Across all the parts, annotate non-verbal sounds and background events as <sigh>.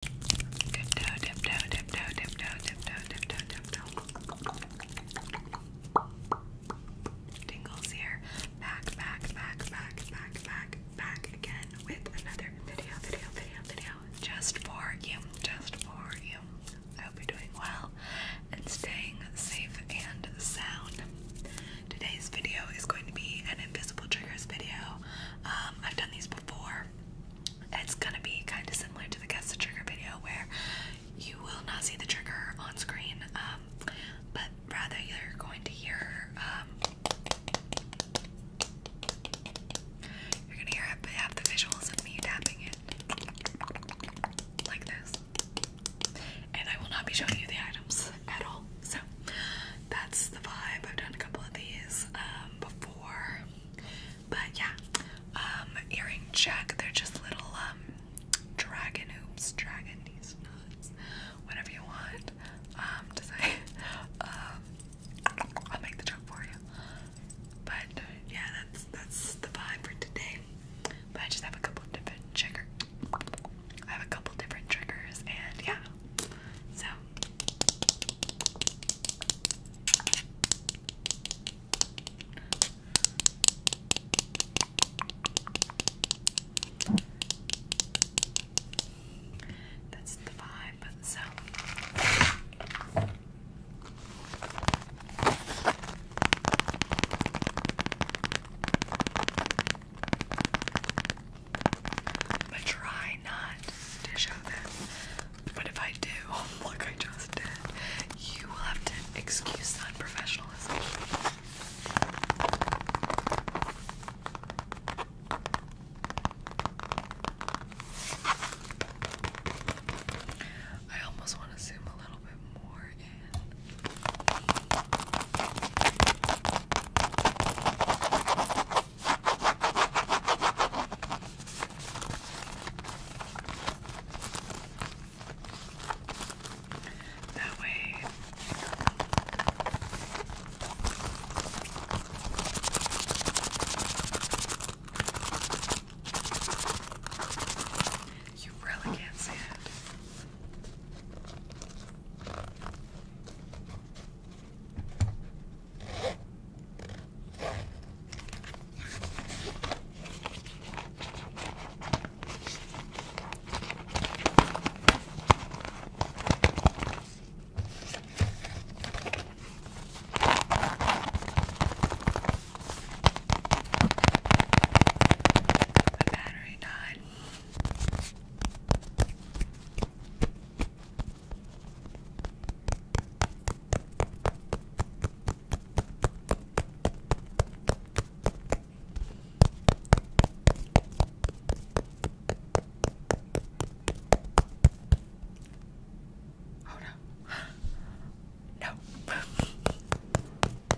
Tiptoe, tiptoe, tiptoe, tiptoe, tiptoe, tiptoe, tiptoe. Tingles here. Back, back, back, back, back, back, back again with another video, video, video, video. Just for you, just for you. I hope you're doing well and staying safe and sound. Today's video is going to be an invisible triggers video. Um, I've done these before. It's gonna be kind of similar to the guess the trigger video where you will not see the trigger on screen, um, but rather you're going to hear um, you're gonna hear it, have the visuals of me tapping it like this, and I will not be showing you the items at all. So that's the vibe. I've done a couple of these. Um, before, but yeah, um, earring check. They're just little um, dragon hoops, dragon these whatever you want. to say, <laughs> I'll make the joke for you. But yeah, that's that's the vibe for today. But I just have a couple of different trigger. I have a couple different triggers, and yeah, so that's the vibe. So but try not to show them. But if I do, look, <laughs> I just did. You will have to excuse that professionalism. I almost want to zoom a little bit more in. That way, you really can't see it. My battery died. Oh <gasps> no. no.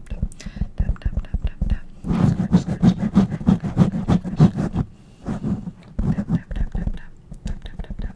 tap tap tap tap tap tap tap scratch scratch scratch scratch scratch scratch scratch tap tap tap tap tap tap tap tap tap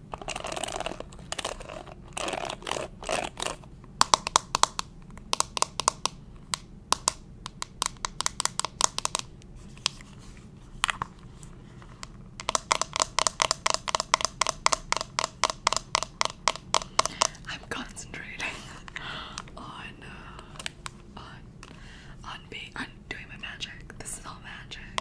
I'm concentrating <laughs> uh, on on being on doing my magic. This is all magic.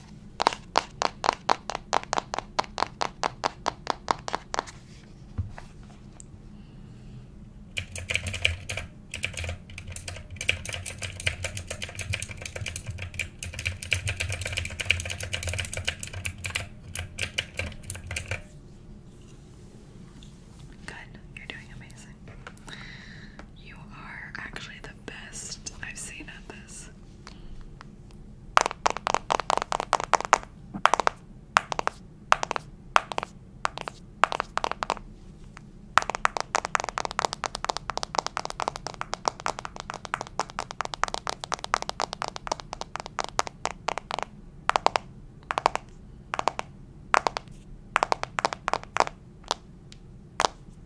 Good, you're doing amazing. You are actually best I've seen at this.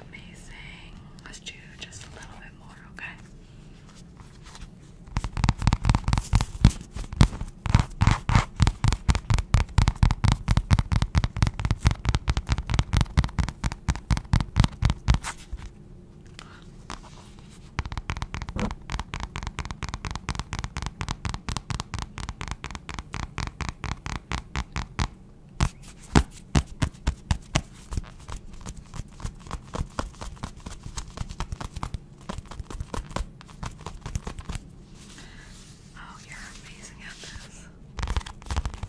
Amazing. Let's do just a little bit more, okay? Okay. Oh, you're amazing at this.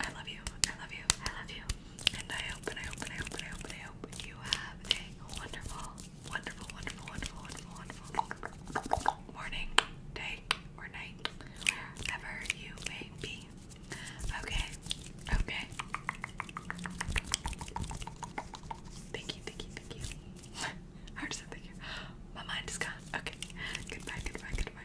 I love you. I love you. I love you. And I hope and I hope and I hope and I hope and I hope you have a wonderful, wonderful, wonderful, wonderful, wonderful, wonderful morning, day, or night, wherever you may be. Okay. Okay. Thank you, thank you, thank you. <laughs> I just said thank you. My mind is gone. Okay. Goodbye, goodbye, goodbye.